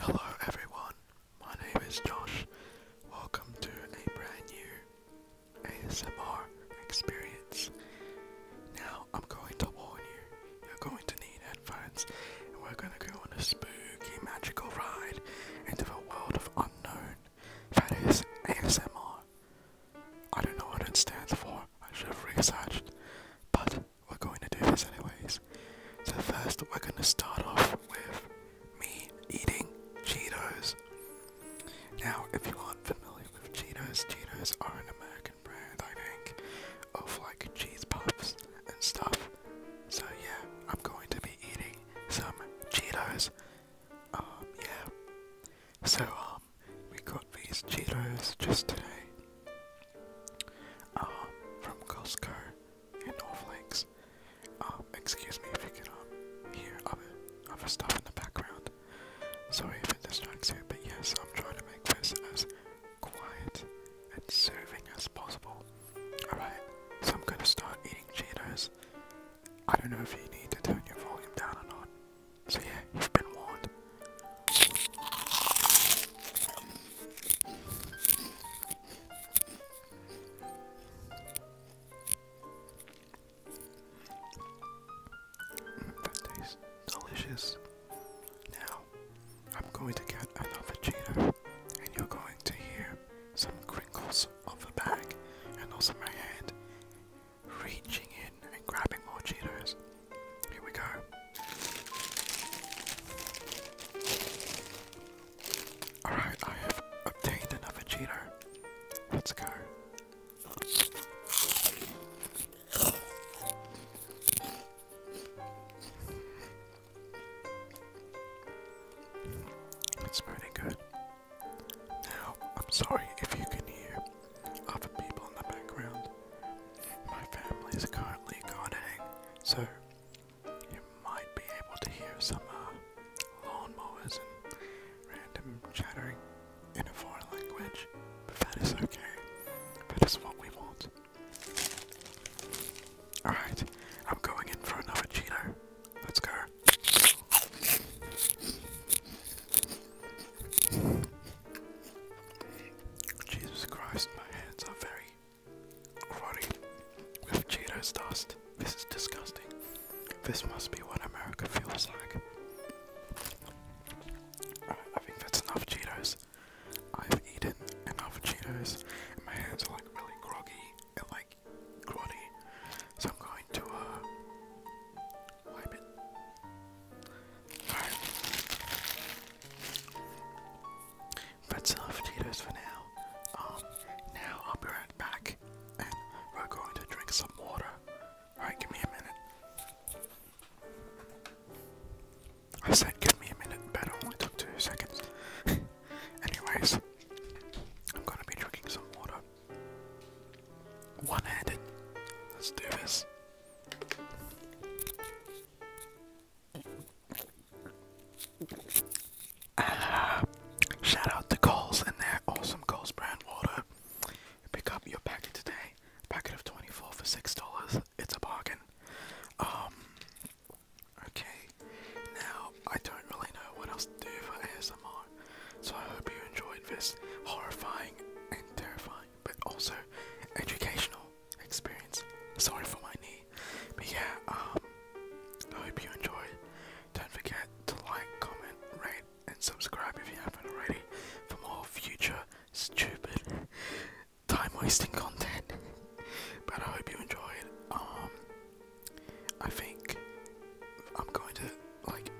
Hello everyone, my name is Josh. Welcome to a brand new ASMR experience. Now I'm going to warn you, you're going to need headphones and we're going to go on a spooky magical ride into a world of unknown. That is ASMR. I don't know what it stands for, I should have researched, but we're going to do this anyways. So first we're going to start off with me eating Cheetos. Now if you aren't familiar with Cheetos, Cheetos are an American brand I think of like cheese puffs and stuff. So yeah, I'm going to be eating some Cheetos. Um, yeah. So um we got these Cheetos just today um, from Costco in Norflakes. Um, excuse me if you can um, hear of a stuff in the background. Sorry if it distracts you, but yes, I'm trying to make this as quiet and serving as possible. Alright, so I'm gonna start eating Cheetos. I don't know if you need to turn your volume down or not. So yeah, you've been warned. That tastes delicious. Now, I'm going to get another Cheeto, and you're going to hear some crinkles of the bag, and also my hand reaching in and grabbing more Cheetos. Here we go. Alright, I have obtained another cheater. Let's go. It's pretty good. Now, I'm sorry if you can hear other people in the background. My family is currently gardening, so you might be able to hear some uh, lawn mowers and random chattering in a foreign language, but that is okay. That is what we want. Alright, I'm going in for another Cheeto. Let's go. Jesus Christ, my hands are very cruddy with Cheetos dust. This is disgusting. This must be what America feels like. I think that's enough Cheetos. I've eaten enough Cheetos, and my hands are like really groggy and like grotty. So I'm going to uh, wipe it. Alright. That's enough for now. Um, now I'll be right back and we're going to drink some water. Alright, give me a minute. I said give me a minute, but it only took two seconds. Anyways, I'm gonna be drinking some water. One handed. Let's do this. shout out to Coles and their awesome Coles brand water. Pick up your packet today. Packet of 24 for $6. It's a bargain. Um, okay. Now, I don't really know what else to do for ASMR, so I hope you enjoyed this horrifying and terrifying, but also educational experience. Sorry for my knee. But yeah, um, I hope you enjoyed. Don't forget to like, comment, rate, and subscribe if you haven't already for more future stupid time wasting content. but I hope you enjoyed. Um, I think I'm going to, like,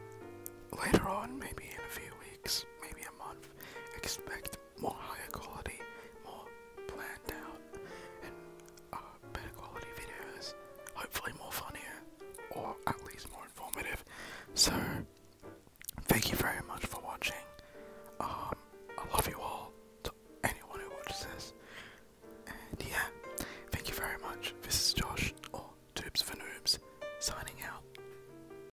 later on, maybe in a few weeks, maybe a month, expect more higher quality, more planned out, and uh, better quality videos. Hopefully, more funnier, or at least more informative. So, thank you very much for watching. Um, I love you all, to anyone who watches this. And yeah, thank you very much. This is Josh, or Tubes for Noobs, signing out.